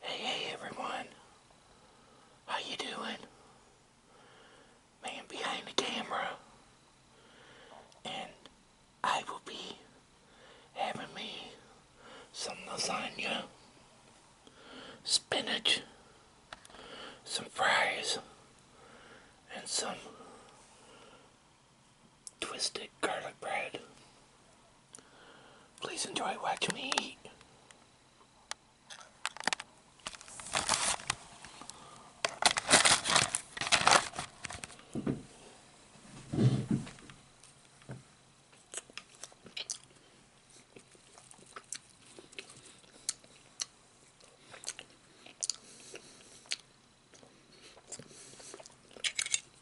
Hey, hey everyone. How you doing? Man behind the camera. And I will be having me some lasagna, spinach, some fries, and some twisted garlic bread. Please enjoy watching me eat.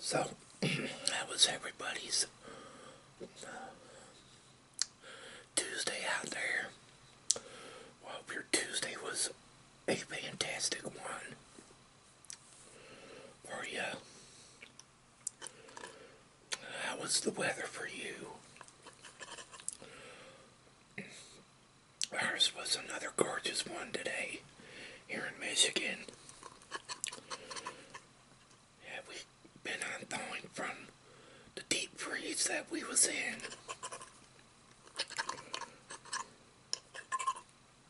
So that was everybody's uh, Tuesday out there. Well, hope your Tuesday was a fantastic one for you. How was the weather for you? Ours was another gorgeous one today here in Michigan. Yeah, we been unthawing from the deep freeze that we was in.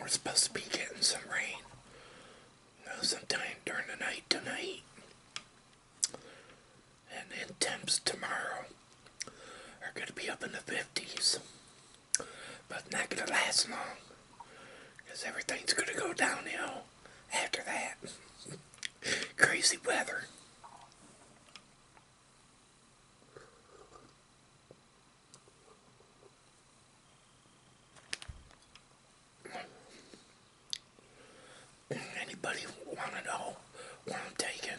We're supposed to be getting some rain sometime during the night tonight and then temps tomorrow are going to be up in the 50s, but not going to last long because everything's going to go downhill after that. Crazy weather. Anybody want to know where I'm taking?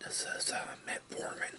This is uh, metformin.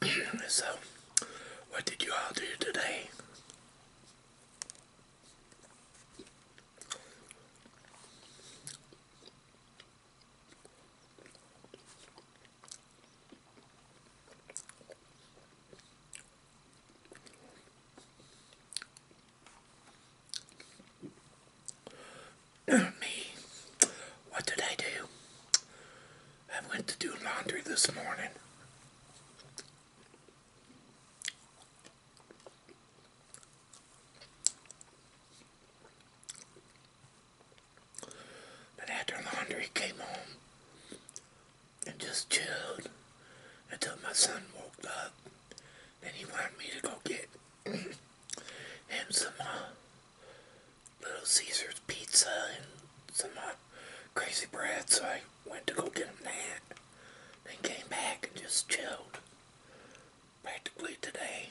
so, what did you all do today? me, what did I do? I went to do laundry this morning. But after laundry came home and just chilled until my son woke up Then he wanted me to go get him some uh, Little Caesar's Pizza and some crazy bread, so I went to go get them that. Then came back and just chilled practically today.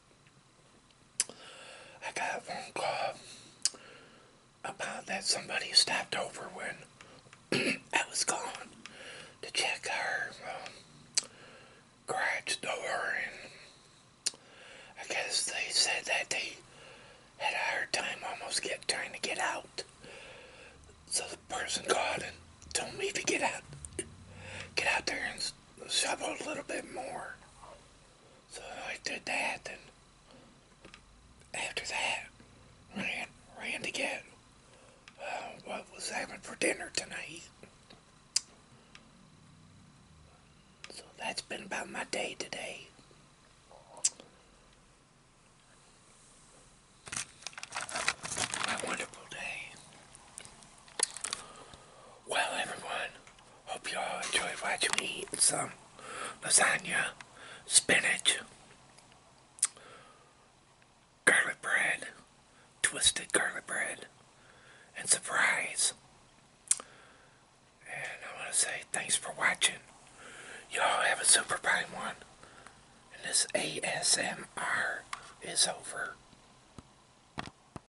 I got a phone call about that somebody stopped over when I was gone to check her um, garage door, and I guess they said that they had a hard time almost get trying to get out. So the person called and told me to get out, get out there and shovel a little bit more. So I did that, and after that, ran, ran to get uh, what was having for dinner tonight. So that's been about my day today. A wonderful day. Well, everyone, hope you all enjoyed watching me eat some lasagna, spinach, garlic bread, twisted garlic bread, and surprise. And I want to say thanks for watching. Y'all have a super fun one. And this ASMR is over.